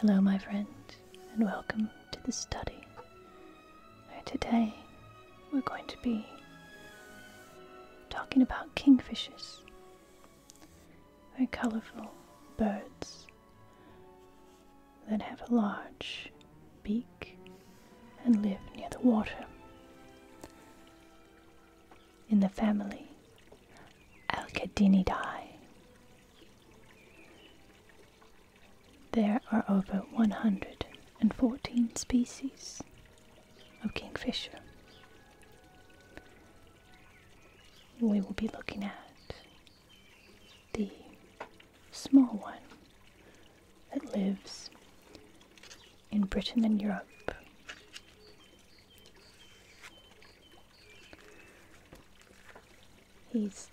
Hello, my friend, and welcome to the study Today we're going to be talking about kingfishers, very colourful birds that have a large beak and live near the water in the family Alcadinidae. There are over 114 species of Kingfisher. We will be looking at the small one that lives in Britain and Europe. He's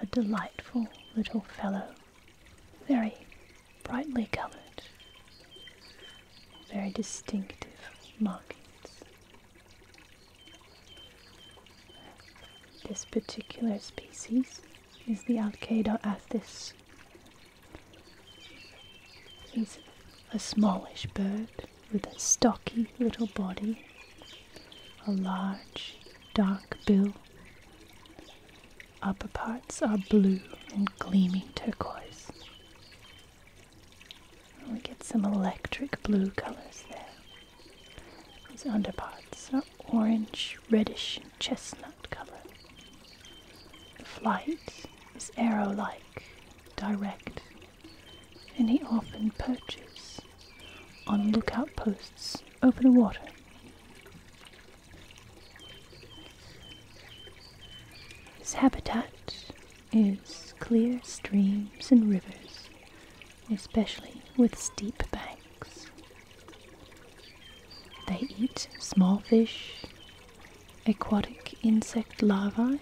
a delightful little fellow very brightly coloured, very distinctive markings. This particular species is the Alcedoathys. It's a smallish bird with a stocky little body, a large dark bill, upper parts are blue and gleaming turquoise. we get some electric blue colors there. These underparts are orange, reddish, chestnut color. The flight is arrow-like, direct, and he often perches on lookout posts over the water. His habitat is clear streams and rivers, especially with steep banks. They eat small fish, aquatic insect larvae,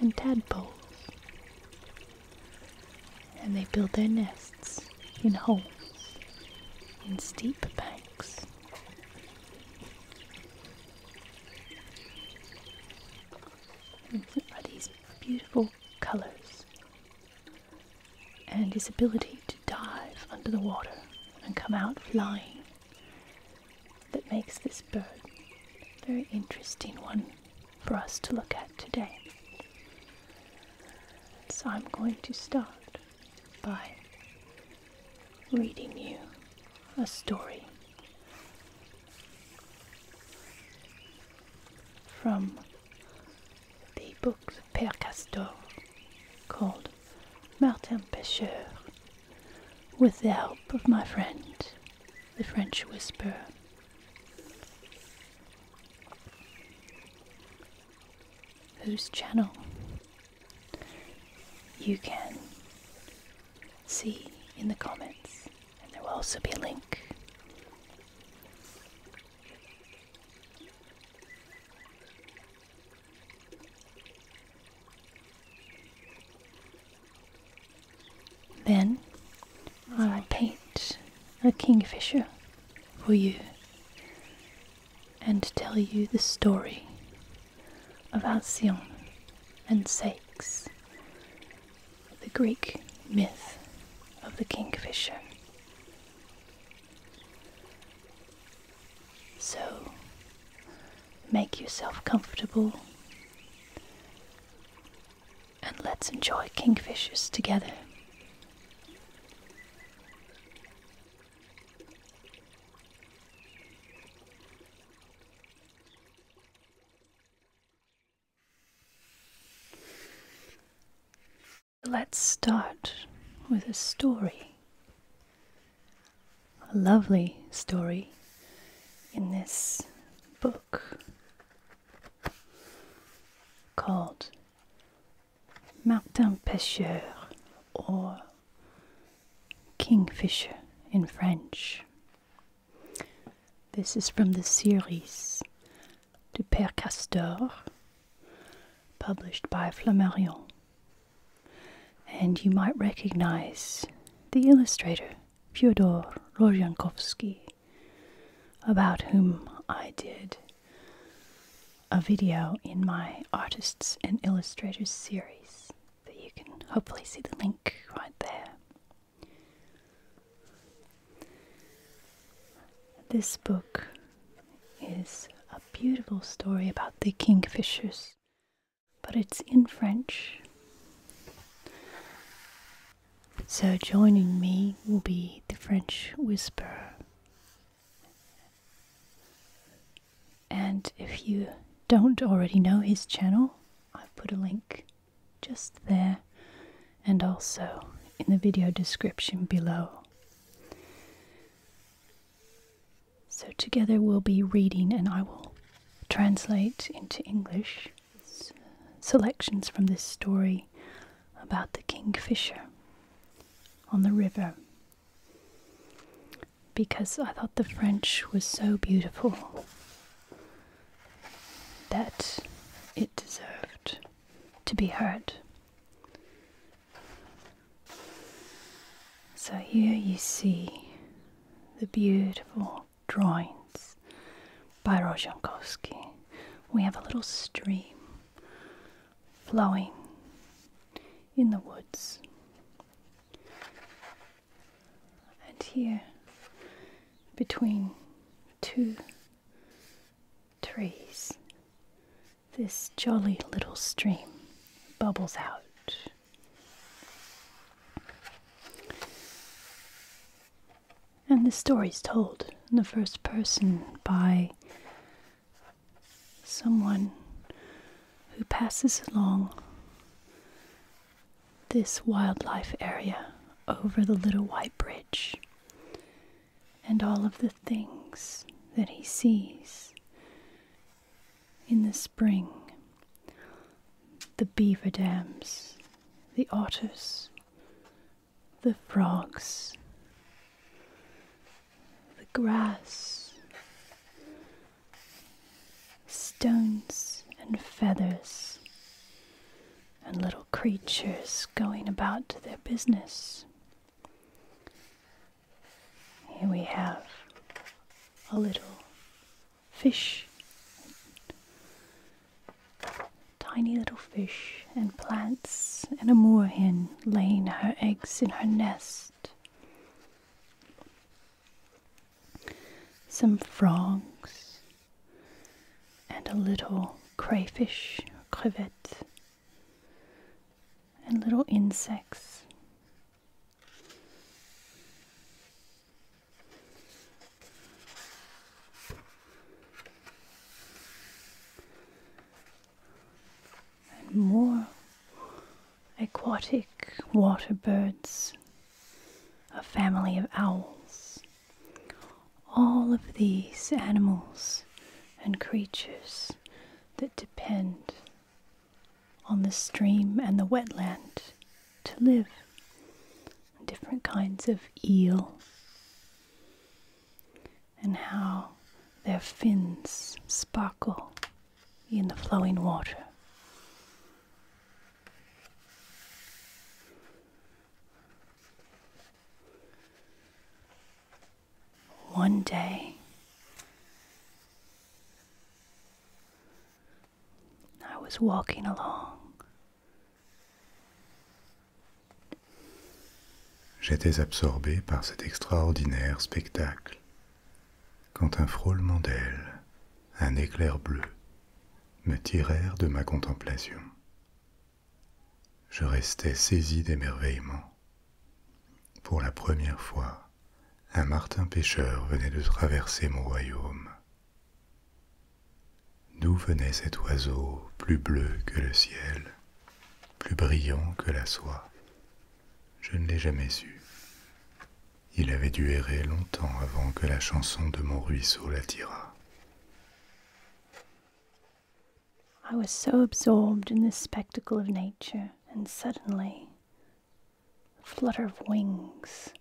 and tadpoles. And they build their nests in holes in steep banks. Mm-hmm. relax. And these beautiful colors and his ability to dive under the water and come out flying that makes this bird a very interesting one for us to look at today. So I'm going to start by reading you a story from the books of Père Castor called Martin Pêcheur with the help of my friend, the French whisper, Whose channel you can see in the comments, and there will also be a link. Then I will paint a kingfisher for you and tell you the story of Alcyone and Sakes, the Greek myth of the kingfisher. So, make yourself comfortable and let's enjoy kingfishers together. Let's start with a story. A lovely story in this book called Martin Pêcheur or Kingfisher in French. This is from the series Du Père Castor, published by Flammarion. And you might recognize the illustrator Fyodor Rozhankovsky, about whom I did a video in my artists and illustrators series that you can hopefully see the link right there. This book is a beautiful story about the kingfishers, but it's in French. So, joining me will be the French Whisperer, and if you don't already know his channel, I've put a link just there and also in the video description below. So, together we'll be reading, and I will translate into English selections from this story about the kingfisher on the river because I thought the French was so beautiful that it deserved to be heard. So here you see the beautiful drawings by Rozhankowski. We have a little stream flowing in the woods. And here, between two trees, this jolly little stream bubbles out. And the story is told in the first person by someone who passes along this wildlife area over the Little White Bridge and all of the things that he sees in the spring the beaver dams, the otters, the frogs, the grass, stones and feathers, and little creatures going about their business. Here we have a little fish, tiny little fish, and plants, and a moorhen laying her eggs in her nest some frogs, and a little crayfish, crevette, and little insects and more aquatic water birds, a family of owls. All of these animals and creatures that depend on the stream and the wetland to live. Different kinds of eel, and how their fins sparkle in the flowing water. One day, I was walking along j'étais absorbé par cet extraordinaire spectacle, quand un frôlement d'ailes, un éclair bleu, me tirèrent de ma contemplation. Je restais saisi d'émerveillement. Pour la première fois, un martin pêcheur venait de traverser mon royaume. D'où venait cet oiseau plus bleu que le ciel, plus brillant que la soie, je ne l'ai jamais su. Il avait dû errer longtemps avant que la chanson de mon ruisseau l'attirât. I was so absorbed in this spectacle of nature, and suddenly a flutter of wings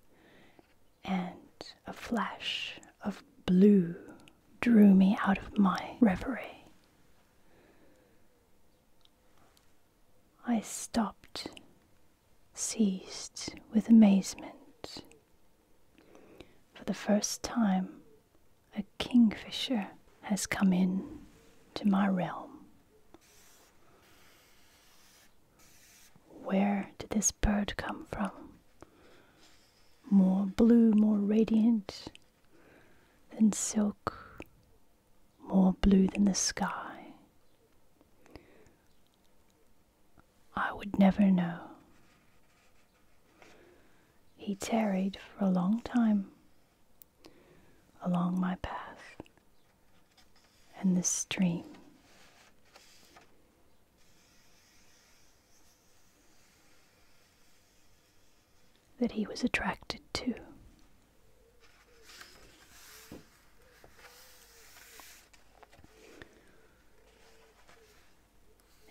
and a flash of blue drew me out of my reverie. I stopped, seized with amazement. For the first time, a kingfisher has come in to my realm. Where did this bird come from? More blue, more radiant, than silk, more blue than the sky. I would never know. He tarried for a long time along my path and the stream that he was attracted to.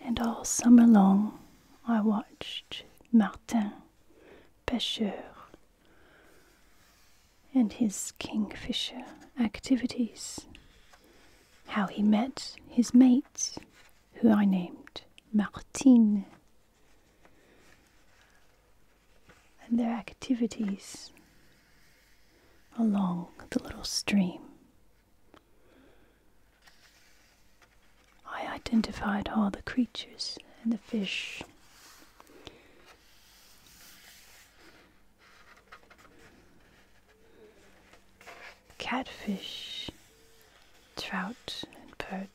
And all summer long, I watched Martin Pêcheur and his kingfisher activities, how he met his mate, who I named Martine and their activities along the little stream. I identified all the creatures and the fish. Catfish, trout, and perch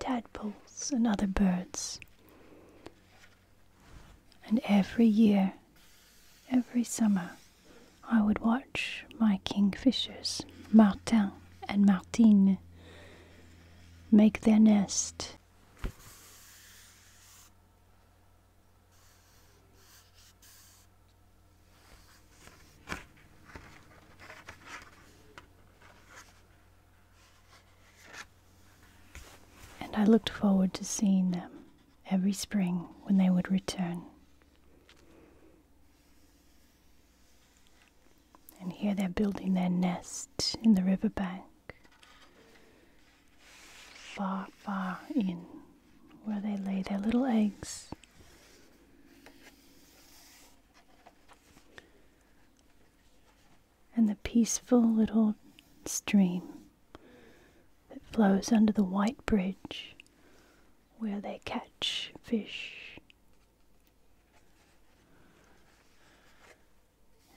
tadpoles, and other birds. And every year, every summer, I would watch my kingfishers, Martin and Martine, make their nest and I looked forward to seeing them every spring when they would return. And here they're building their nest in the riverbank, far, far in where they lay their little eggs. And the peaceful little stream that flows under the white bridge where they catch fish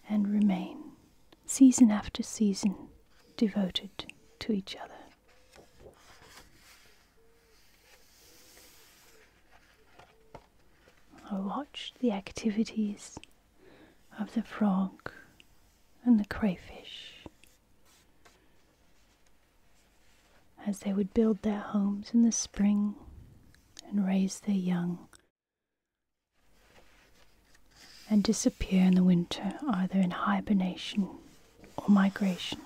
and remain season after season devoted to each other. I watched the activities of the frog and the crayfish as they would build their homes in the spring and raise their young and disappear in the winter either in hibernation or migration.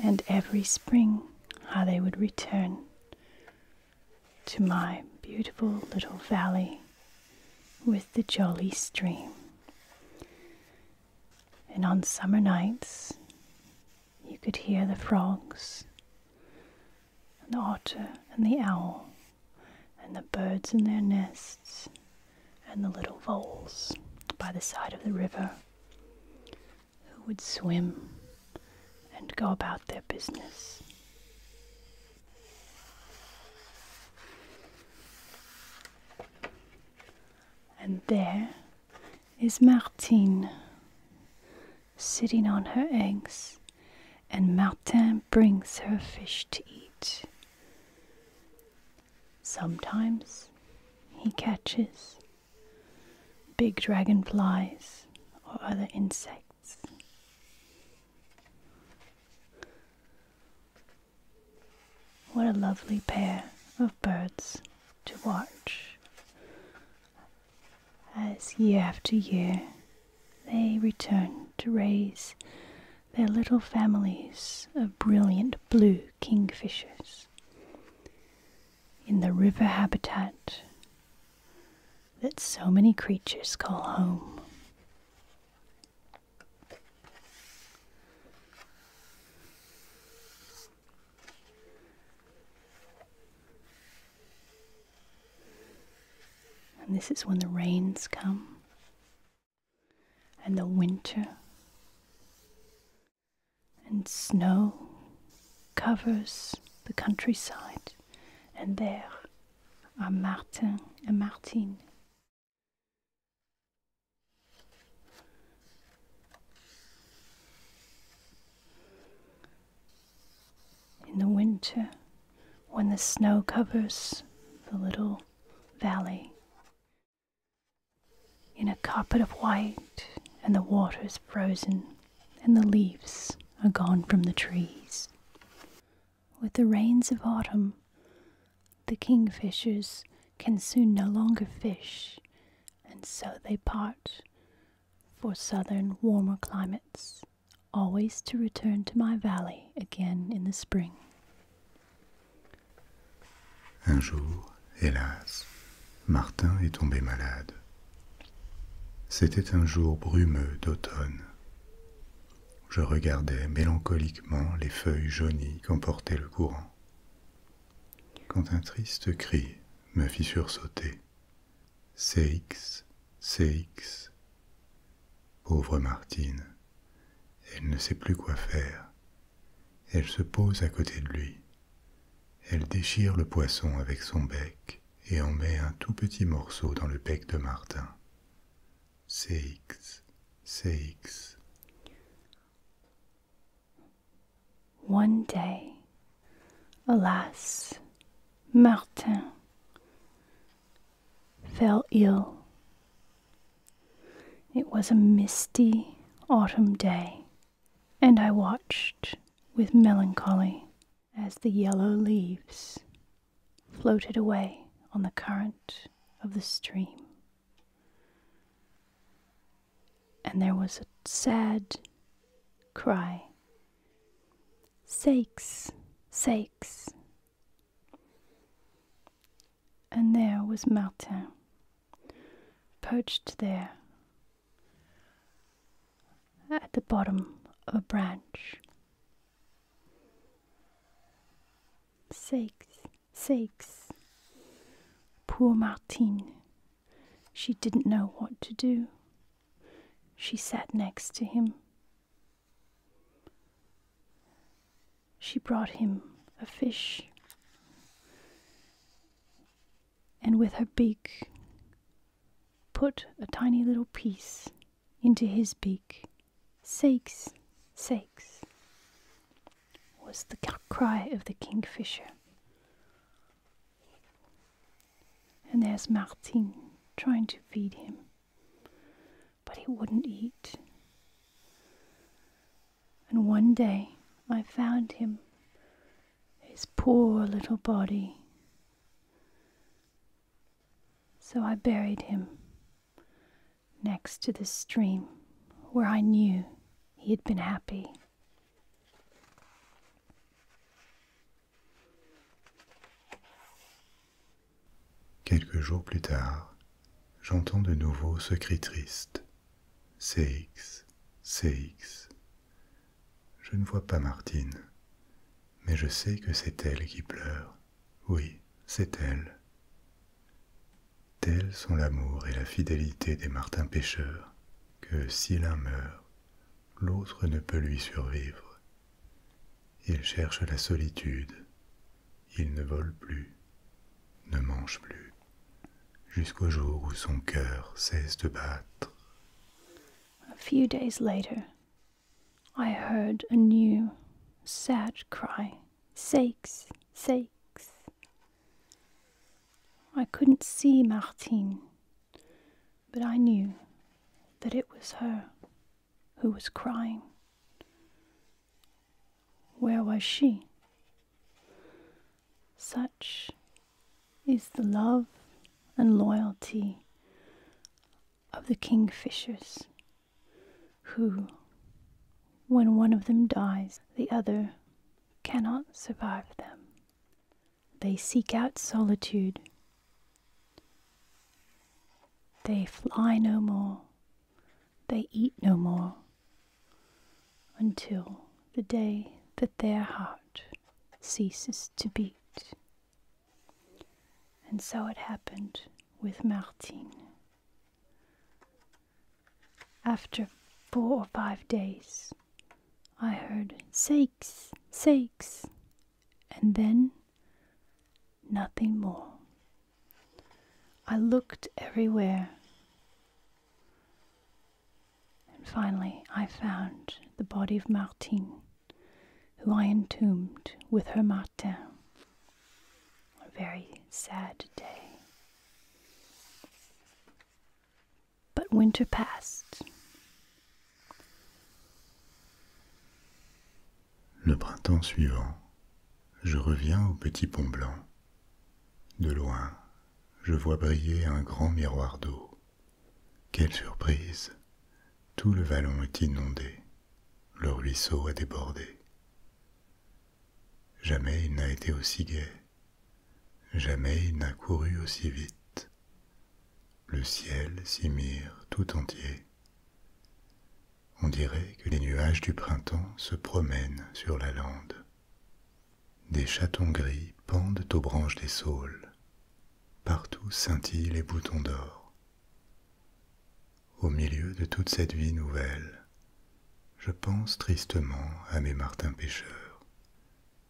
And every spring, how they would return to my beautiful little valley with the jolly stream. And on summer nights, you could hear the frogs, and the otter, and the owl, and the birds in their nests, and the little voles by the side of the river who would swim and go about their business. And there is Martine sitting on her eggs, and Martin brings her fish to eat. Sometimes he catches big dragonflies or other insects. What a lovely pair of birds to watch as year after year they return to raise their little families of brilliant blue kingfishers. In the river habitat that so many creatures call home. And this is when the rains come and the winter and snow covers the countryside and there are Martin and Martine. In the winter, when the snow covers the little valley in a carpet of white, and the water is frozen, and the leaves are gone from the trees. With the rains of autumn, the kingfishers can soon no longer fish, and so they part for southern, warmer climates, always to return to my valley again in the spring. Un jour, hélas, Martin est tombé malade. C'était un jour brumeux d'automne. Je regardais mélancoliquement les feuilles jaunies qu'emportait le courant. Quand un triste cri me fit sursauter. CX, CX. Pauvre Martine. Elle ne sait plus quoi faire. Elle se pose à côté de lui. Elle déchire le poisson avec son bec et en met un tout petit morceau dans le bec de Martin. CX, CX. One day, alas, Martin fell ill It was a misty autumn day, and I watched with melancholy as the yellow leaves floated away on the current of the stream. And there was a sad cry Sakes, sakes and there was Martin, perched there at the bottom of a branch. Sakes, sakes. Poor Martine. She didn't know what to do. She sat next to him she brought him a fish. And with her beak, put a tiny little piece into his beak. Sakes, sakes, was the cry of the kingfisher. And there's Martin trying to feed him but he wouldn't eat. And one day I found him, his poor little body. So I buried him next to the stream where I knew he had been happy. Quelques jours plus tard, j'entends de nouveau ce cri triste. CX, CX. Je ne vois pas Martine, mais je sais que c'est elle qui pleure. Oui, c'est elle. Tels sont l'amour et la fidélité des martins pêcheurs, que si l'un meurt, l'autre ne peut lui survivre. Il cherche la solitude, il ne vole plus, ne mange plus, jusqu'au jour où son cœur cesse de battre. A few days later, I heard a new, sad cry. Sakes, sakes. I couldn't see Martine, but I knew that it was her who was crying. Where was she? Such is the love and loyalty of the kingfishers, who, when one of them dies, the other cannot survive them. They seek out solitude. They fly no more, they eat no more until the day that their heart ceases to beat. And so it happened with Martin. After four or five days, I heard sakes, sakes, and then nothing more. I looked everywhere. And finally, I found the body of Martine, who I entombed with her Martin. A very sad day. But winter passed. Le printemps suivant je reviens au petit pont blanc. De loin, je vois briller un grand miroir d'eau. Quelle surprise Tout le vallon est inondé. Le ruisseau a débordé. Jamais il n'a été aussi gai. Jamais il n'a couru aussi vite. Le ciel s'y mire tout entier. On dirait que les nuages du printemps se promènent sur la lande. Des chatons gris pendent aux branches des saules. Partout scintillent les boutons d'or. Au milieu de toute cette vie nouvelle, je pense tristement à mes martins pêcheurs,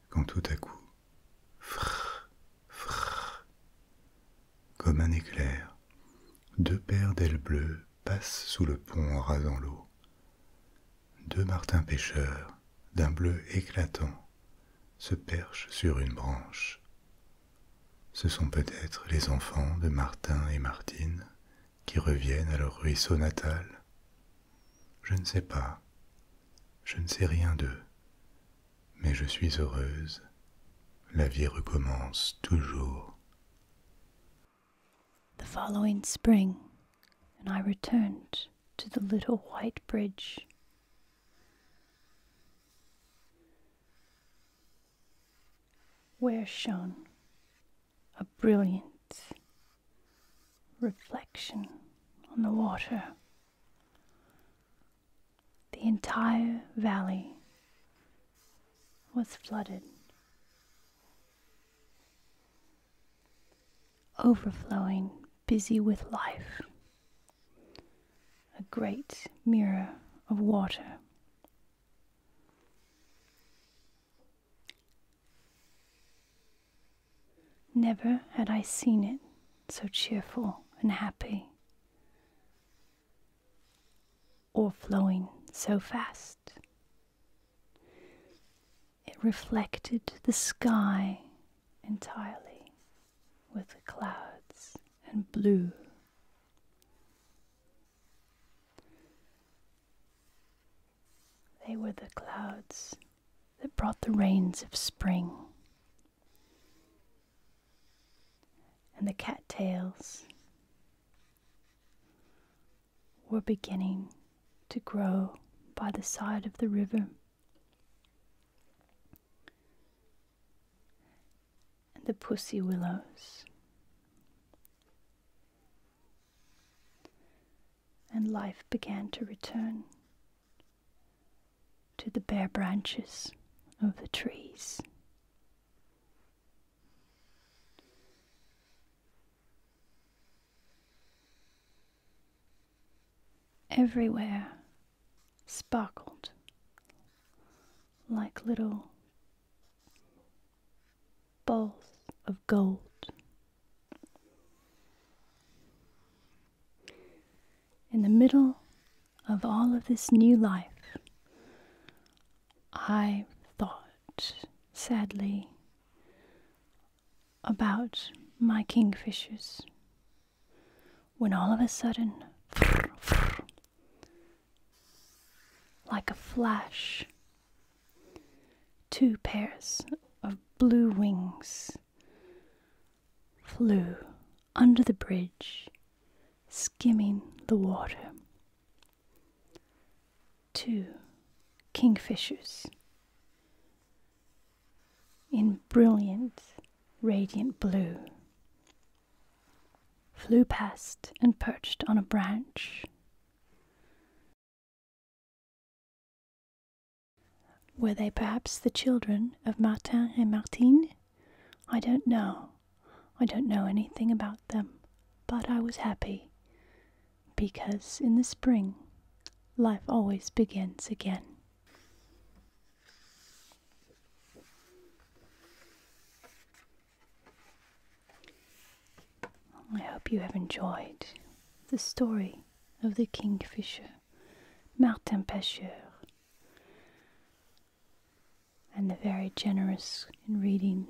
quand tout à coup, frrr, frrr, comme un éclair, deux paires d'ailes bleues passent sous le pont en rasant l'eau. Deux martins pêcheurs, d'un bleu éclatant, se perchent sur une branche. Ce sont peut-être les enfants de Martin et Martine qui reviennent à leur ruisseau natal. Je ne sais pas, je ne sais rien d'eux, mais je suis heureuse. La vie recommence toujours. The following spring, and I returned to the little white bridge. Where shone a brilliant reflection on the water. The entire valley was flooded, overflowing, busy with life. A great mirror of water. Never had I seen it so cheerful and happy, or flowing so fast. It reflected the sky entirely with the clouds and blue. They were the clouds that brought the rains of spring. And the cattails were beginning to grow by the side of the river. And the pussy willows. And life began to return to the bare branches of the trees. Everywhere sparkled like little balls of gold. In the middle of all of this new life, I thought sadly, about my kingfishers when all of a sudden, like a flash, two pairs of blue wings flew under the bridge, skimming the water two kingfishers in brilliant, radiant blue flew past and perched on a branch. Were they perhaps the children of Martin and Martine? I don't know. I don't know anything about them, but I was happy because in the spring life always begins again. I hope you have enjoyed the story of the kingfisher, Martin Pêcheur and the very generous in reading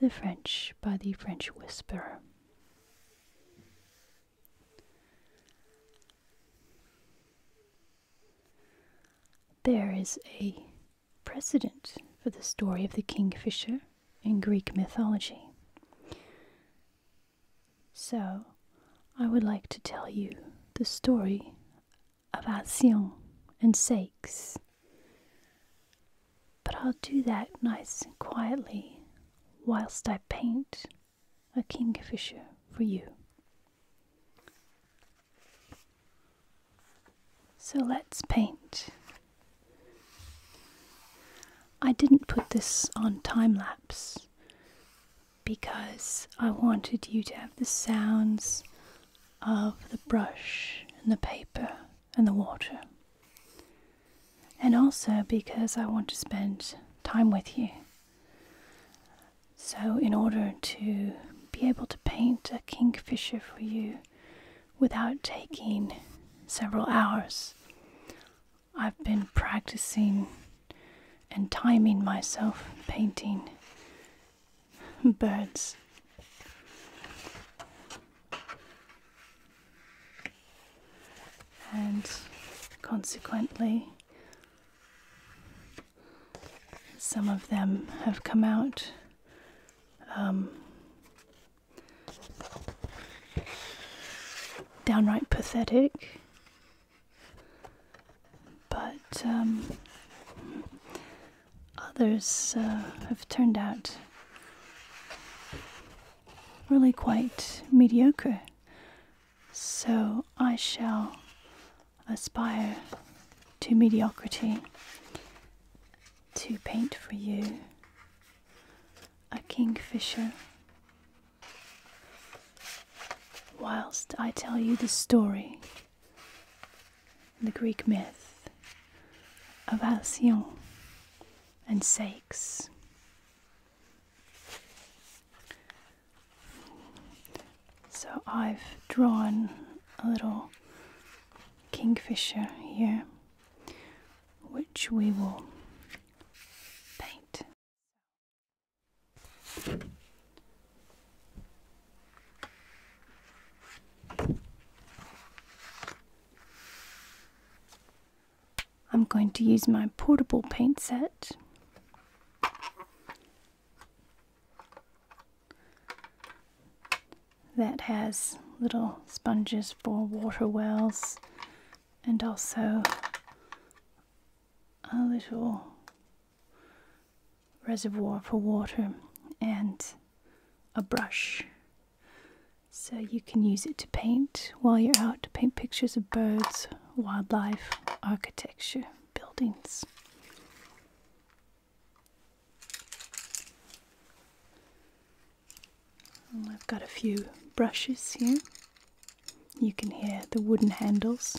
the French by the French Whisperer. There is a precedent for the story of the kingfisher in Greek mythology. So, I would like to tell you the story about Sion and sakes. But I'll do that nice and quietly whilst I paint a kingfisher for you. So let's paint. I didn't put this on time lapse because I wanted you to have the sounds of the brush and the paper and the water. And also because I want to spend time with you. So, in order to be able to paint a kingfisher for you without taking several hours, I've been practicing and timing myself painting birds. And consequently, some of them have come out um, downright pathetic, but um, others uh, have turned out really quite mediocre. So I shall aspire to mediocrity to paint for you a kingfisher whilst I tell you the story the Greek myth of Alcyon and Sakes. So I've drawn a little kingfisher here, which we will paint. I'm going to use my portable paint set. That has little sponges for water wells and also a little reservoir for water and a brush. So you can use it to paint while you're out to paint pictures of birds, wildlife, architecture, buildings. I've got a few brushes here. You can hear the wooden handles.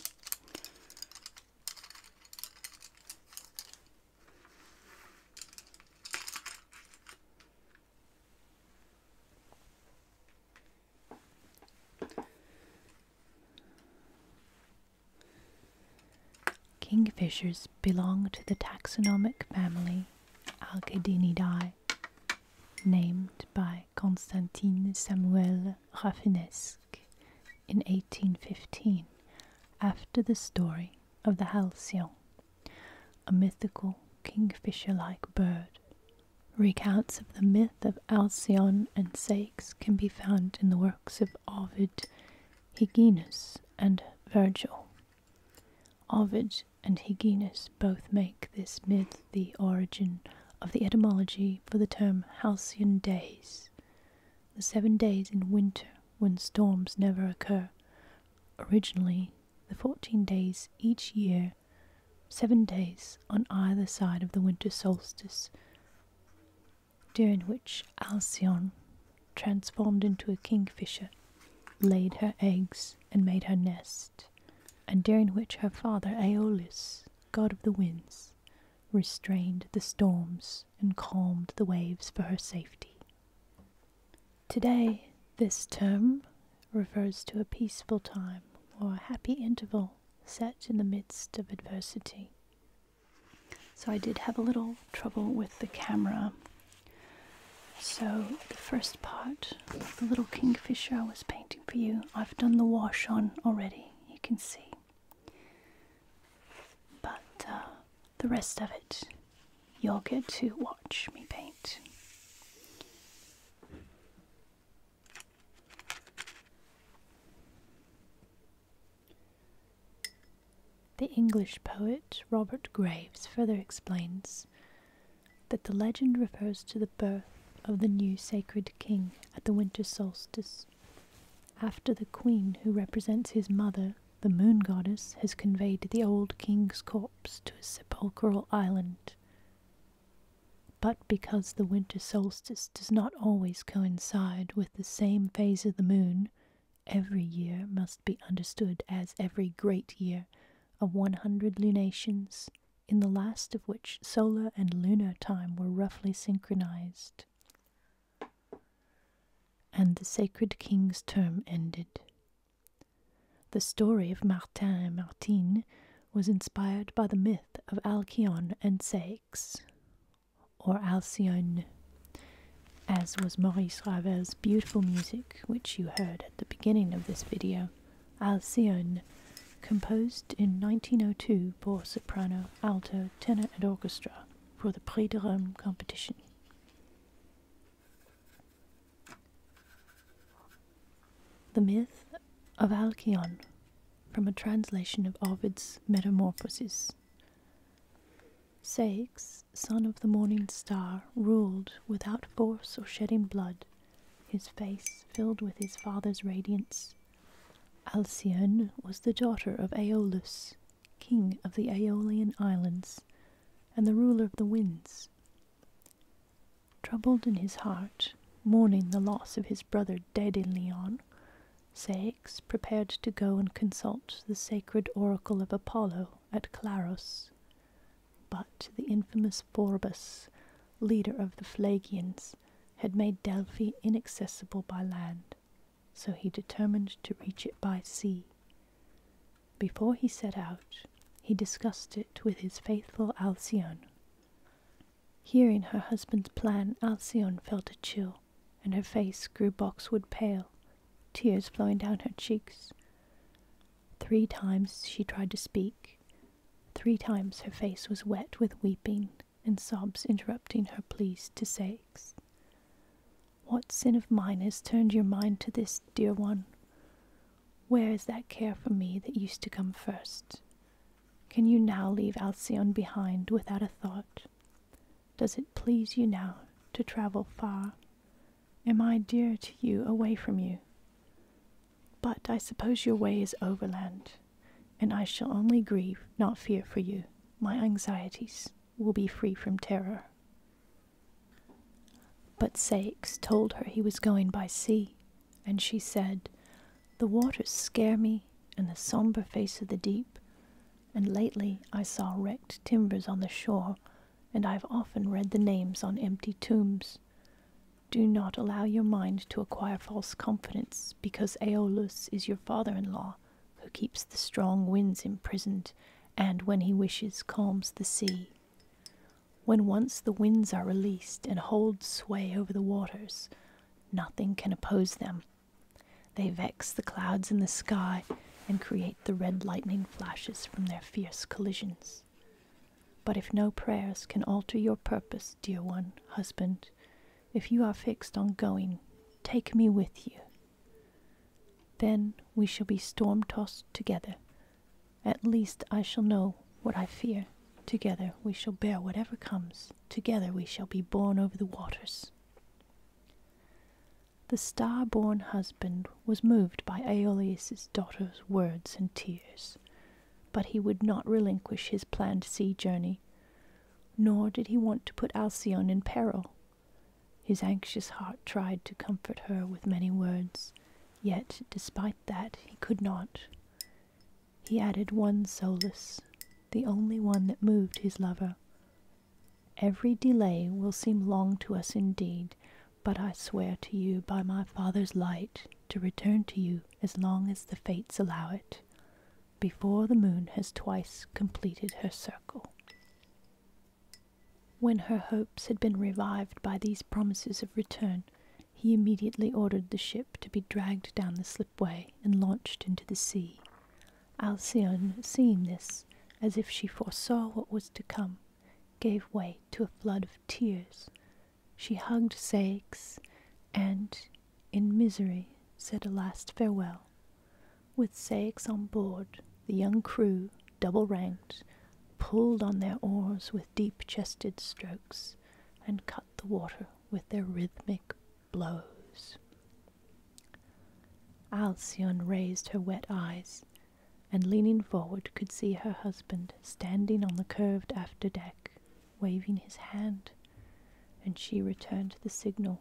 Kingfishers belong to the taxonomic family Alcedinidae, named by Constantine Samuel Rafinesque in 1815 after the story of the halcyon, a mythical kingfisher-like bird. Recounts of the myth of Alcyone and Sakes can be found in the works of Ovid, Hyginus, and Virgil. Ovid and Hyginus both make this myth the origin of the etymology for the term halcyon days, the seven days in winter when storms never occur. Originally, the 14 days each year, seven days on either side of the winter solstice, during which Alcyone, transformed into a kingfisher, laid her eggs and made her nest, and during which her father Aeolus, god of the winds, restrained the storms and calmed the waves for her safety. Today, this term refers to a peaceful time or a happy interval set in the midst of adversity. So I did have a little trouble with the camera. So the first part, the little kingfisher I was painting for you, I've done the wash on already, you can see. But uh, the rest of it, you'll get to watch me paint. The English poet Robert Graves further explains that the legend refers to the birth of the new sacred king at the winter solstice after the queen who represents his mother, the moon goddess, has conveyed the old king's corpse to a sepulchral island. But because the winter solstice does not always coincide with the same phase of the moon, every year must be understood as every great year of 100 lunations, in the last of which solar and lunar time were roughly synchronized. And the sacred king's term ended. The story of Martin and Martine was inspired by the myth of Alcyone and Saix, or Alcyone, as was Maurice Ravel's beautiful music, which you heard at the beginning of this video. Alcyone, composed in 1902 for soprano, alto, tenor, and orchestra for the Prix de Rome competition. The Myth of Alcyone from a translation of Ovid's Metamorphoses. Ceyx, son of the morning star, ruled without force or shedding blood, his face filled with his father's radiance. Alcyone was the daughter of Aeolus, king of the Aeolian Islands and the ruler of the winds. Troubled in his heart, mourning the loss of his brother dead in Leon, Ceyx prepared to go and consult the sacred oracle of Apollo at Claros. But the infamous Phorbas, leader of the Phlagians, had made Delphi inaccessible by land, so he determined to reach it by sea. Before he set out, he discussed it with his faithful Alcyone. Hearing her husband's plan, Alcyone felt a chill, and her face grew boxwood pale, tears flowing down her cheeks. Three times she tried to speak. Three times her face was wet with weeping, and sobs interrupting her pleas to sex. What sin of mine has turned your mind to this, dear one? Where is that care for me that used to come first? Can you now leave Alcyone behind without a thought? Does it please you now to travel far? Am I dear to you away from you? But I suppose your way is overland, and I shall only grieve, not fear for you, my anxieties will be free from terror. But Sikes told her he was going by sea, and she said, The waters scare me, and the sombre face of the deep, and lately I saw wrecked timbers on the shore, and I have often read the names on empty tombs. Do not allow your mind to acquire false confidence, because Aeolus is your father in law, who keeps the strong winds imprisoned, and when he wishes calms the sea. When once the winds are released and hold sway over the waters, nothing can oppose them. They vex the clouds in the sky and create the red lightning flashes from their fierce collisions. But if no prayers can alter your purpose, dear one, husband, if you are fixed on going, take me with you, then we shall be storm tossed together. At least I shall know what I fear. Together we shall bear whatever comes. Together we shall be borne over the waters. The star born husband was moved by Aeolus' daughter's words and tears, but he would not relinquish his planned sea journey, nor did he want to put Alcyone in peril his anxious heart tried to comfort her with many words, yet despite that he could not. He added one solace, the only one that moved his lover. Every delay will seem long to us indeed, but I swear to you by my father's light to return to you as long as the fates allow it before the moon has twice completed her circle. When her hopes had been revived by these promises of return, he immediately ordered the ship to be dragged down the slipway and launched into the sea. Alcyone, seeing this, as if she foresaw what was to come, gave way to a flood of tears. She hugged Ceyx and, in misery, said a last farewell with Saix on board, the young crew, double ranked, pulled on their oars with deep chested strokes and cut the water with their rhythmic blows. Alcyone raised her wet eyes, and leaning forward could see her husband standing on the curved after deck, waving his hand, and she returned the signal,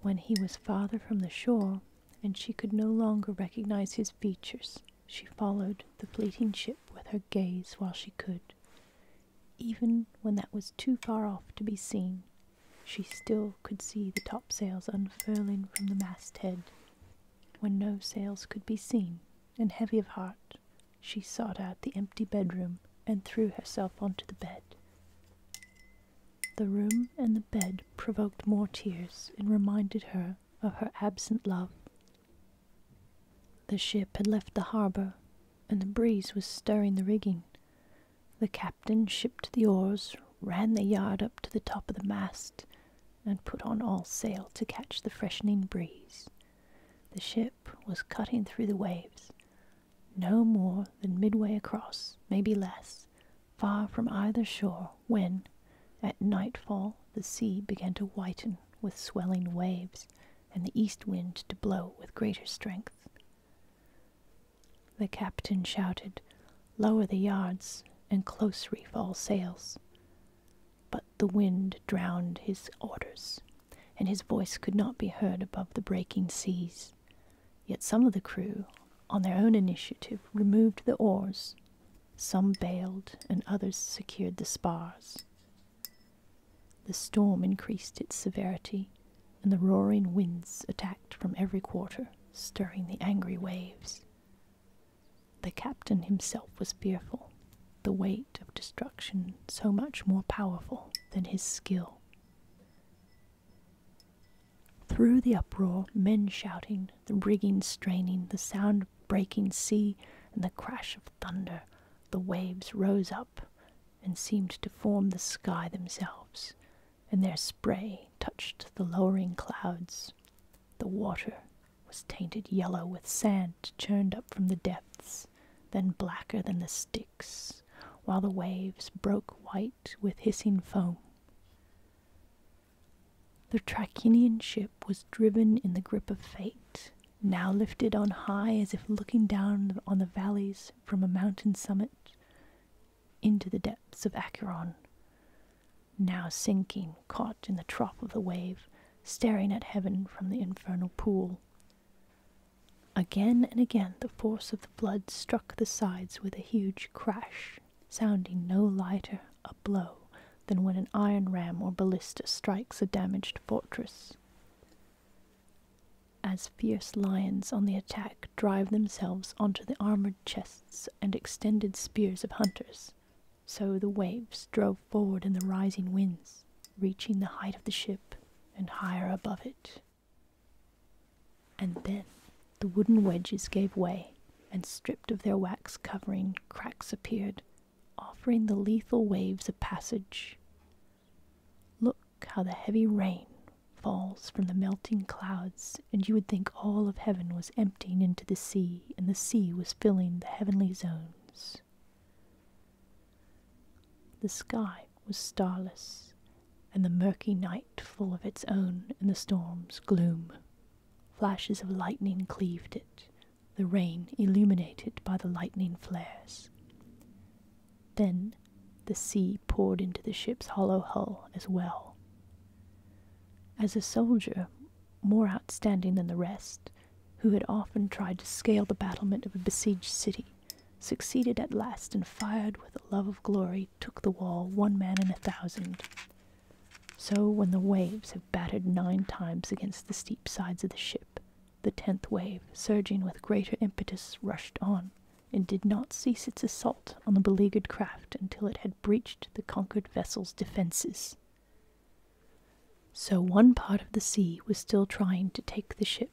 when he was farther from the shore, and she could no longer recognize his features, she followed the fleeting ship with her gaze while she could. Even when that was too far off to be seen, she still could see the topsails unfurling from the masthead. When no sails could be seen, and heavy of heart, she sought out the empty bedroom and threw herself onto the bed. The room and the bed provoked more tears and reminded her of her absent love. The ship had left the harbour, and the breeze was stirring the rigging. The captain shipped the oars, ran the yard up to the top of the mast, and put on all sail to catch the freshening breeze. The ship was cutting through the waves, no more than midway across, maybe less, far from either shore, when, at nightfall, the sea began to whiten with swelling waves, and the east wind to blow with greater strength. The captain shouted, Lower the yards, and close reef all sails. But the wind drowned his orders, and his voice could not be heard above the breaking seas. Yet some of the crew, on their own initiative, removed the oars. Some bailed, and others secured the spars. The storm increased its severity, and the roaring winds attacked from every quarter, stirring the angry waves. The captain himself was fearful, the weight of destruction so much more powerful than his skill. Through the uproar, men shouting, the rigging straining, the sound of breaking sea, and the crash of thunder, the waves rose up and seemed to form the sky themselves, and their spray touched the lowering clouds. The water was tainted yellow with sand churned up from the depths, then blacker than the while the waves broke white with hissing foam. The Trachinian ship was driven in the grip of fate, now lifted on high as if looking down on the valleys from a mountain summit into the depths of Acheron, now sinking, caught in the trough of the wave, staring at heaven from the infernal pool, Again and again the force of the blood struck the sides with a huge crash, sounding no lighter a blow than when an iron ram or ballista strikes a damaged fortress. As fierce lions on the attack drive themselves onto the armored chests and extended spears of hunters, so the waves drove forward in the rising winds, reaching the height of the ship and higher above it. And then the wooden wedges gave way, and stripped of their wax covering, cracks appeared, offering the lethal waves a passage. Look how the heavy rain falls from the melting clouds, and you would think all of heaven was emptying into the sea, and the sea was filling the heavenly zones. The sky was starless, and the murky night full of its own and the storm's gloom. Flashes of lightning cleaved it, the rain illuminated by the lightning flares. Then the sea poured into the ship's hollow hull as well. As a soldier, more outstanding than the rest, who had often tried to scale the battlement of a besieged city, succeeded at last, and fired with a love of glory, took the wall, one man in a thousand. So, when the waves have battered nine times against the steep sides of the ship, the tenth wave, surging with greater impetus, rushed on, and did not cease its assault on the beleaguered craft until it had breached the conquered vessel's defences. So one part of the sea was still trying to take the ship,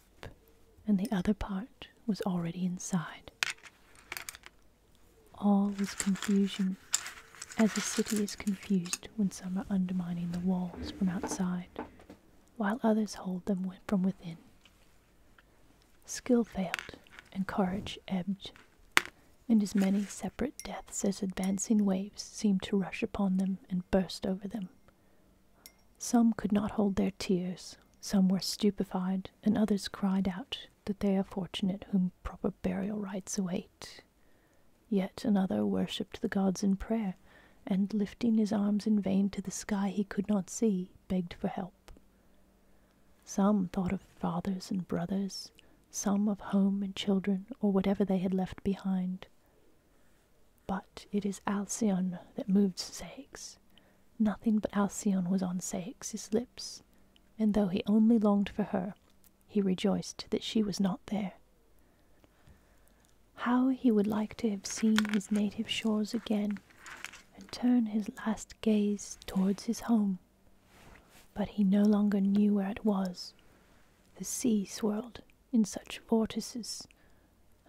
and the other part was already inside. All was confusion, as a city is confused when some are undermining the walls from outside, while others hold them from within. Skill failed, and courage ebbed, and as many separate deaths as advancing waves seemed to rush upon them and burst over them. Some could not hold their tears, some were stupefied, and others cried out that they are fortunate whom proper burial rites await. Yet another worshipped the gods in prayer, and lifting his arms in vain to the sky he could not see, begged for help. Some thought of fathers and brothers, some of home and children, or whatever they had left behind. But it is Alcyone that moved Sages, Nothing but Alcyone was on Ceyx's lips, and though he only longed for her, he rejoiced that she was not there. How he would like to have seen his native shores again, and turn his last gaze towards his home! But he no longer knew where it was. The sea swirled in such vortices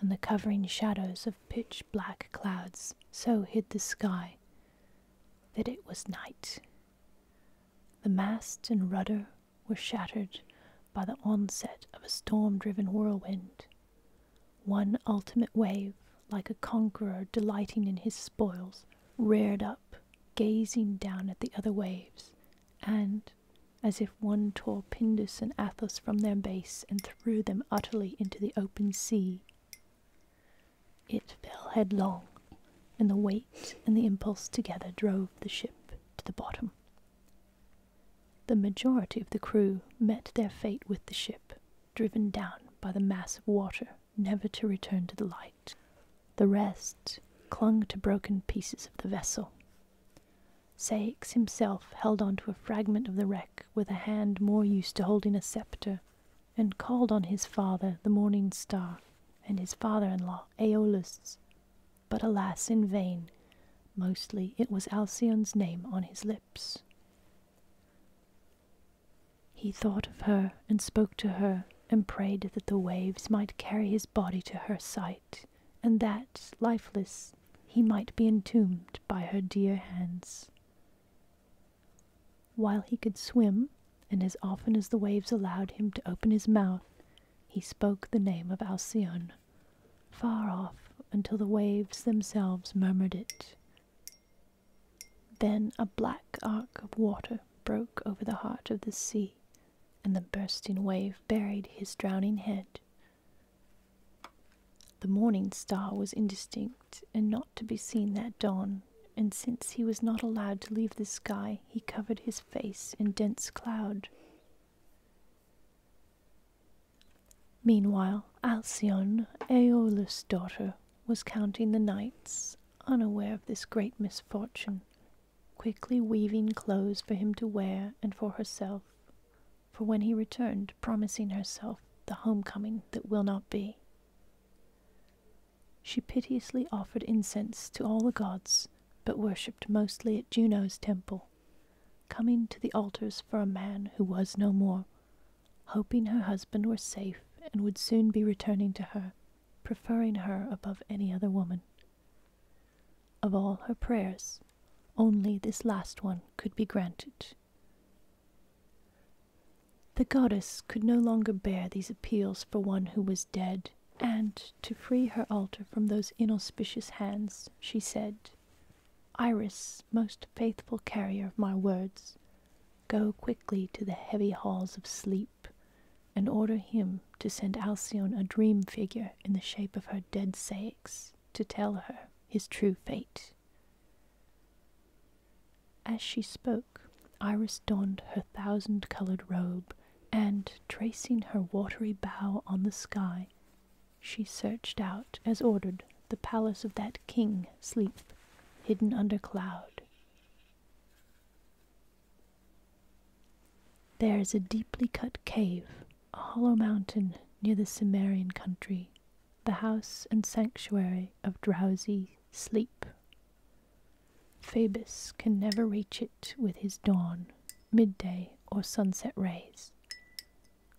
and the covering shadows of pitch black clouds so hid the sky that it was night. The mast and rudder were shattered by the onset of a storm driven whirlwind. One ultimate wave, like a conqueror delighting in his spoils, reared up, gazing down at the other waves, and, as if one tore Pindus and Athos from their base and threw them utterly into the open sea. It fell headlong, and the weight and the impulse together drove the ship to the bottom. The majority of the crew met their fate with the ship, driven down by the mass of water, never to return to the light. The rest clung to broken pieces of the vessel. Saix himself held on to a fragment of the wreck with a hand more used to holding a sceptre, and called on his father, the morning star, and his father in law, Aeolus. But alas, in vain. Mostly it was Alcyon's name on his lips. He thought of her and spoke to her and prayed that the waves might carry his body to her sight, and that, lifeless, he might be entombed by her dear hands. While he could swim, and as often as the waves allowed him to open his mouth, he spoke the name of Alcyone, far off until the waves themselves murmured it. Then a black arc of water broke over the heart of the sea, and the bursting wave buried his drowning head the morning star was indistinct and not to be seen that dawn, and since he was not allowed to leave the sky, he covered his face in dense cloud. Meanwhile, Alcyone, Aeolus' daughter, was counting the nights, unaware of this great misfortune, quickly weaving clothes for him to wear and for herself for when he returned, promising herself the homecoming that will not be. She piteously offered incense to all the gods, but worshipped mostly at Juno's temple, coming to the altars for a man who was no more, hoping her husband were safe and would soon be returning to her, preferring her above any other woman. Of all her prayers, only this last one could be granted. The goddess could no longer bear these appeals for one who was dead, and to free her altar from those inauspicious hands, she said, Iris, most faithful carrier of my words, go quickly to the heavy halls of sleep, and order him to send Alcyone a dream figure in the shape of her dead Ceyx to tell her his true fate. As she spoke, Iris donned her thousand coloured robe, and, tracing her watery bow on the sky, she searched out, as ordered, the palace of that king, Sleep, hidden under cloud. There is a deeply cut cave, a hollow mountain near the Cimmerian country, the house and sanctuary of drowsy sleep. Phoebus can never reach it with his dawn, midday, or sunset rays.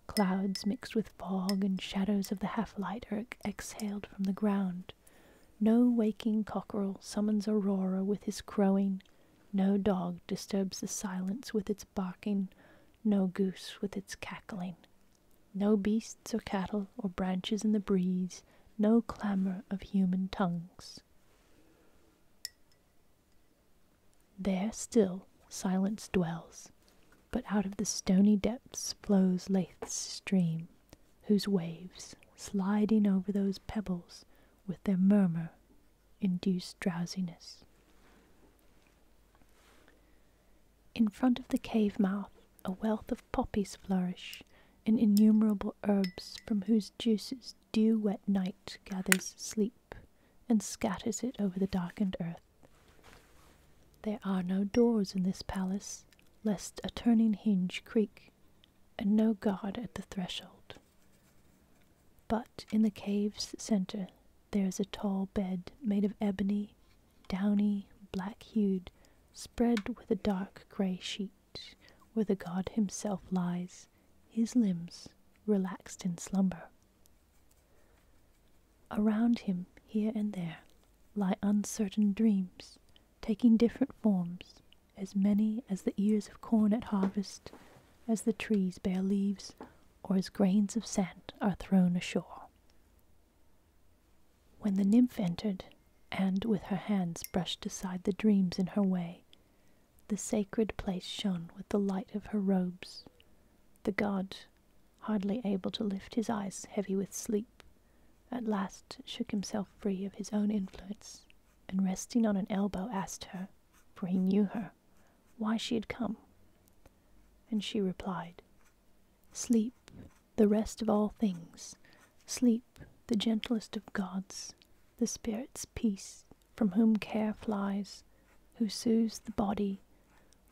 Clouds mixed with fog and shadows of the half light are exhaled from the ground. No waking cockerel summons Aurora with his crowing, no dog disturbs the silence with its barking, no goose with its cackling, no beasts or cattle or branches in the breeze, no clamour of human tongues. There still silence dwells, but out of the stony depths flows Lethe's stream, whose waves, sliding over those pebbles with their murmur, induce drowsiness. In front of the cave mouth, a wealth of poppies flourish, and innumerable herbs from whose juices dew wet night gathers sleep and scatters it over the darkened earth. There are no doors in this palace, lest a turning hinge creak, and no guard at the threshold. But in the cave's centre there is a tall bed made of ebony, downy, black hued, spread with a dark grey sheet, where the god himself lies, his limbs relaxed in slumber. Around him, here and there, lie uncertain dreams, taking different forms, as many as the ears of corn at harvest, as the trees bear leaves, or as grains of sand are thrown ashore. When the nymph entered, and with her hands brushed aside the dreams in her way, the sacred place shone with the light of her robes. The god, hardly able to lift his eyes heavy with sleep, at last shook himself free of his own influence, and resting on an elbow asked her, for he knew her, why she had come. And she replied, Sleep, the rest of all things, sleep, the gentlest of gods, the spirit's peace, from whom care flies, who soothes the body,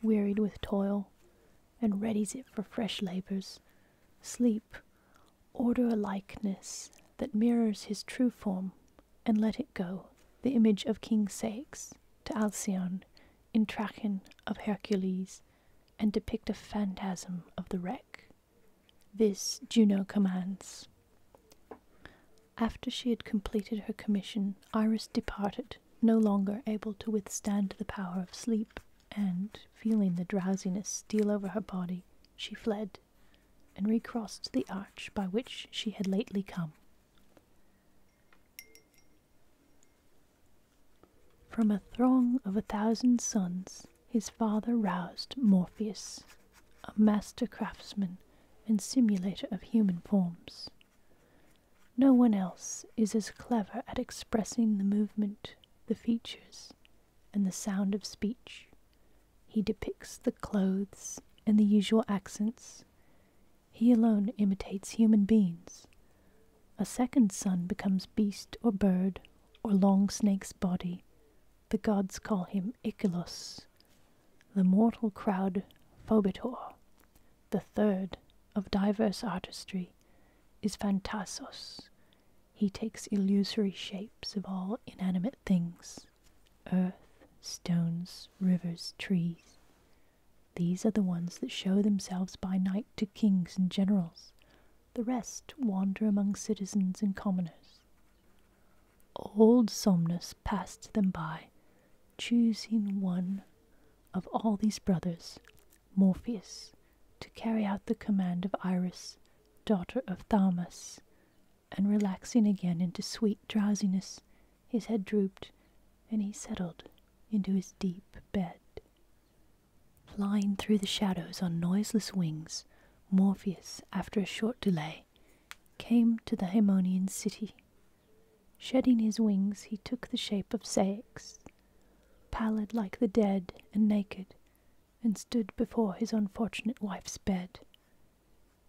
wearied with toil, and readies it for fresh labors. Sleep, order a likeness that mirrors his true form, and let it go, the image of King Ceyx, to Alcyone, in Trajan of Hercules and depict a phantasm of the wreck. This Juno commands. After she had completed her commission, Iris departed, no longer able to withstand the power of sleep, and, feeling the drowsiness steal over her body, she fled and recrossed the arch by which she had lately come. From a throng of a thousand sons, his father roused Morpheus, a master craftsman and simulator of human forms. No one else is as clever at expressing the movement, the features, and the sound of speech. He depicts the clothes and the usual accents, he alone imitates human beings. A second son becomes beast or bird or long snake's body. The gods call him Ichilus. The mortal crowd, Phobitor. The third, of diverse artistry, is Phantasos. He takes illusory shapes of all inanimate things earth, stones, rivers, trees. These are the ones that show themselves by night to kings and generals. The rest wander among citizens and commoners. Old Somnus passed them by, choosing one of all these brothers, Morpheus, to carry out the command of Iris, daughter of Thamas, and relaxing again into sweet drowsiness, his head drooped, and he settled into his deep bed. Flying through the shadows on noiseless wings, Morpheus, after a short delay, came to the Haemonian city. Shedding his wings, he took the shape of Ceyx, pallid like the dead and naked, and stood before his unfortunate wife's bed.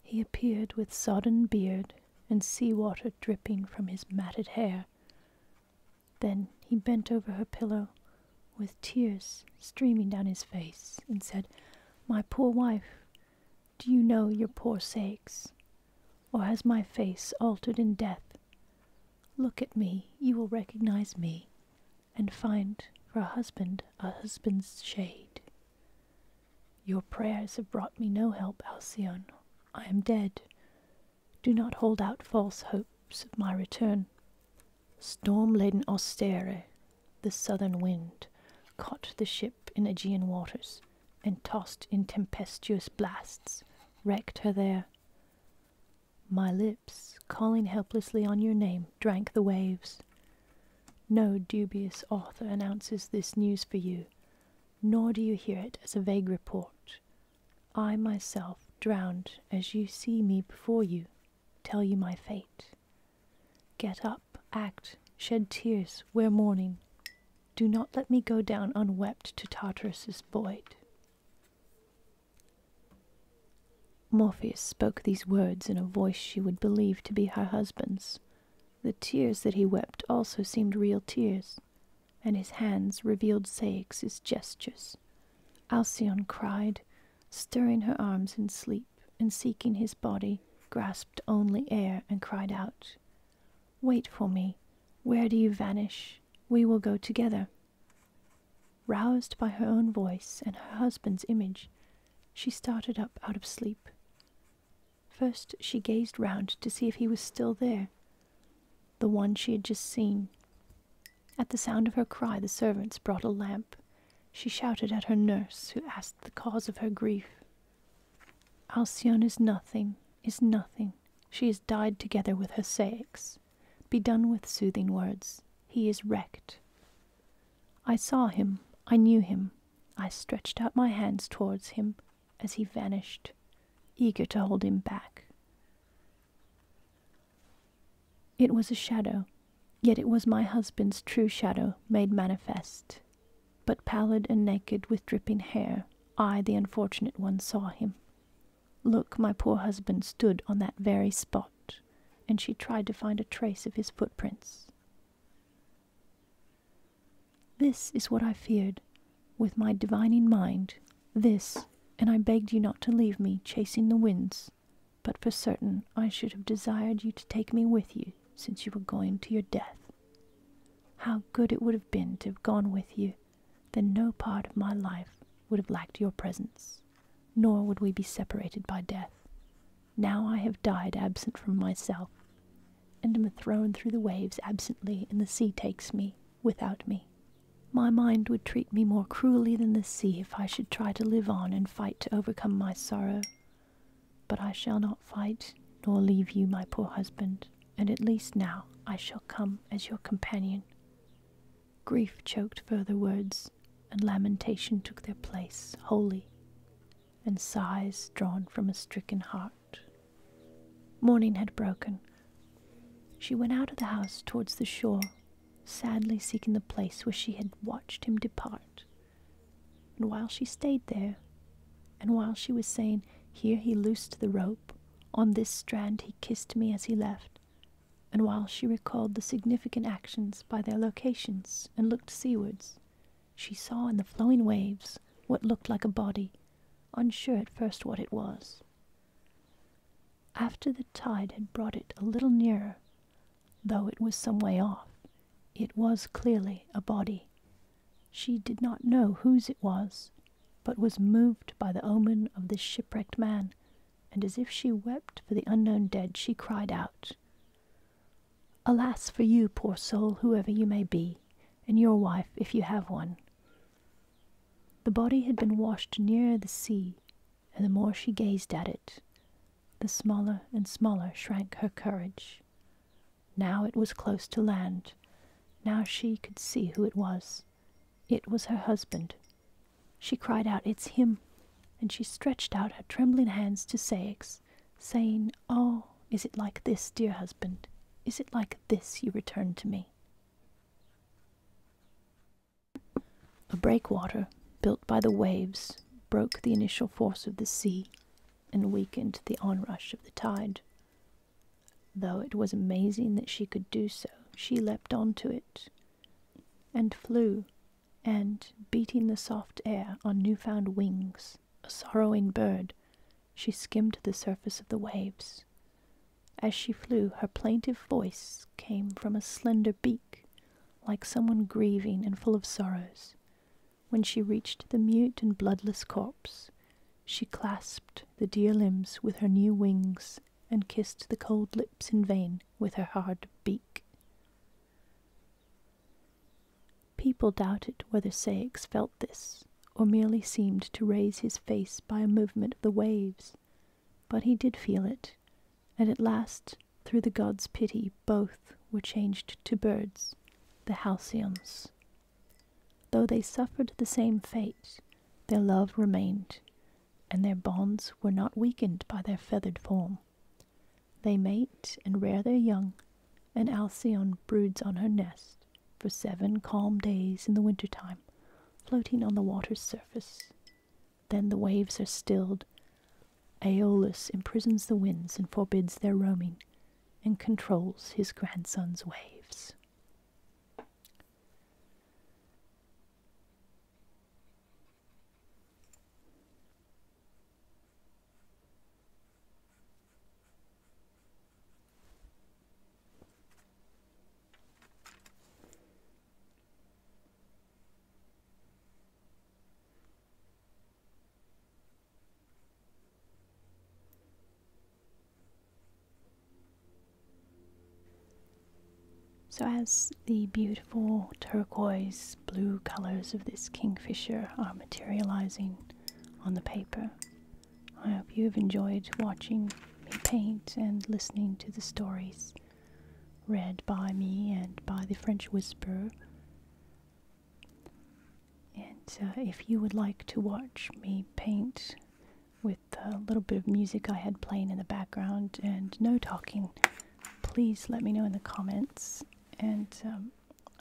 He appeared with sodden beard and sea water dripping from his matted hair. Then he bent over her pillow, with tears streaming down his face, and said, My poor wife, do you know your poor sakes? Or has my face altered in death? Look at me, you will recognize me, and find for a husband a husband's shade. Your prayers have brought me no help, Alcyone. I am dead. Do not hold out false hopes of my return. Storm laden Austere, the southern wind, caught the ship in Aegean waters, and tossed in tempestuous blasts, wrecked her there. My lips, calling helplessly on your name, drank the waves. No dubious author announces this news for you, nor do you hear it as a vague report. I myself, drowned as you see me before you, tell you my fate. Get up, act, shed tears, wear mourning. Do not let me go down unwept to Tartarus's void. Morpheus spoke these words in a voice she would believe to be her husband's, the tears that he wept also seemed real tears, and his hands revealed Ceyx's gestures. Alcyone cried, stirring her arms in sleep, and seeking his body, grasped only air and cried out, Wait for me. Where do you vanish? We will go together. Roused by her own voice and her husband's image, she started up out of sleep. First, she gazed round to see if he was still there, the one she had just seen. At the sound of her cry, the servants brought a lamp. She shouted at her nurse, who asked the cause of her grief. Alcyone is nothing, is nothing. She has died together with her Hersaix. Be done with soothing words. He is wrecked. I saw him. I knew him. I stretched out my hands towards him as he vanished, eager to hold him back. It was a shadow, yet it was my husband's true shadow made manifest. But pallid and naked with dripping hair, I, the unfortunate one, saw him. Look, my poor husband stood on that very spot, and she tried to find a trace of his footprints. This is what I feared with my divining mind, this, and I begged you not to leave me chasing the winds, but for certain I should have desired you to take me with you since you were going to your death. How good it would have been to have gone with you, then no part of my life would have lacked your presence, nor would we be separated by death. Now I have died absent from myself, and am thrown through the waves absently, and the sea takes me without me. My mind would treat me more cruelly than the sea if I should try to live on and fight to overcome my sorrow. But I shall not fight, nor leave you, my poor husband, and at least now I shall come as your companion. Grief choked further words, and lamentation took their place wholly, and sighs drawn from a stricken heart. Morning had broken. She went out of the house towards the shore, sadly seeking the place where she had watched him depart. And while she stayed there, and while she was saying, Here he loosed the rope, on this strand he kissed me as he left, and while she recalled the significant actions by their locations and looked seawards, she saw in the flowing waves what looked like a body, unsure at first what it was. After the tide had brought it a little nearer, though it was some way off, it was clearly a body. She did not know whose it was, but was moved by the omen of this shipwrecked man, and as if she wept for the unknown dead, she cried out, Alas for you, poor soul, whoever you may be! and your wife if you have one. The body had been washed nearer the sea, and the more she gazed at it, the smaller and smaller shrank her courage. Now it was close to land. Now she could see who it was. It was her husband. She cried out, It's him! And she stretched out her trembling hands to Ceyx, saying, Oh, is it like this, dear husband? Is it like this you return to me? A breakwater built by the waves broke the initial force of the sea and weakened the onrush of the tide. Though it was amazing that she could do so, she leapt onto it and flew, and, beating the soft air on new-found wings, a sorrowing bird, she skimmed the surface of the waves. As she flew, her plaintive voice came from a slender beak, like someone grieving and full of sorrows. When she reached the mute and bloodless corpse, she clasped the dear limbs with her new wings and kissed the cold lips in vain with her hard beak. People doubted whether Ceyx felt this, or merely seemed to raise his face by a movement of the waves, but he did feel it, and at last, through the god's pity, both were changed to birds, the Halcyons. Though they suffered the same fate, their love remained, and their bonds were not weakened by their feathered form. They mate and rear their young, and Alcyone broods on her nest, for seven calm days in the winter time, floating on the water's surface. Then the waves are stilled. Aeolus imprisons the winds and forbids their roaming, and controls his grandson's waves. So, as the beautiful turquoise blue colors of this kingfisher are materializing on the paper, I hope you have enjoyed watching me paint and listening to the stories read by me and by the French Whisperer. And uh, if you would like to watch me paint with a little bit of music I had playing in the background and no talking, please let me know in the comments and um,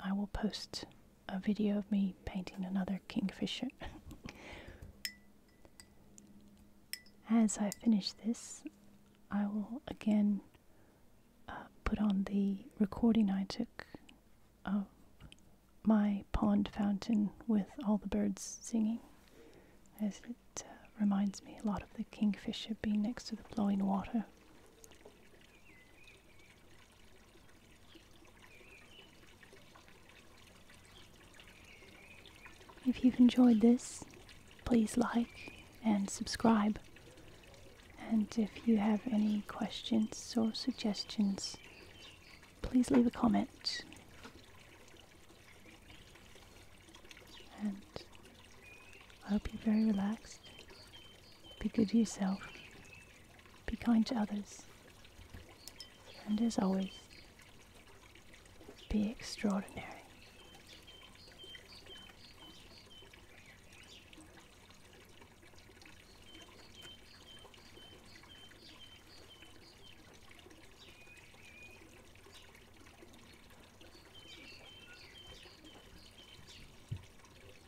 I will post a video of me painting another kingfisher. As I finish this, I will again uh, put on the recording I took of my pond fountain with all the birds singing, as it uh, reminds me a lot of the kingfisher being next to the flowing water. If you've enjoyed this, please like and subscribe. And if you have any questions or suggestions, please leave a comment. And I hope you're very relaxed. Be good to yourself be kind to others. And as always, be extraordinary.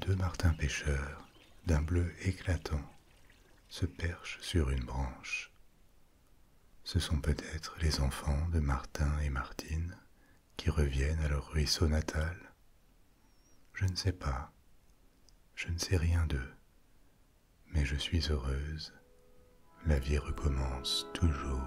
Deux martins pêcheurs, d'un bleu éclatant, se perchent sur une branche. Ce sont peut-être les enfants de Martin et Martine qui reviennent à leur ruisseau natal. Je ne sais pas, je ne sais rien d'eux, mais je suis heureuse, la vie recommence toujours.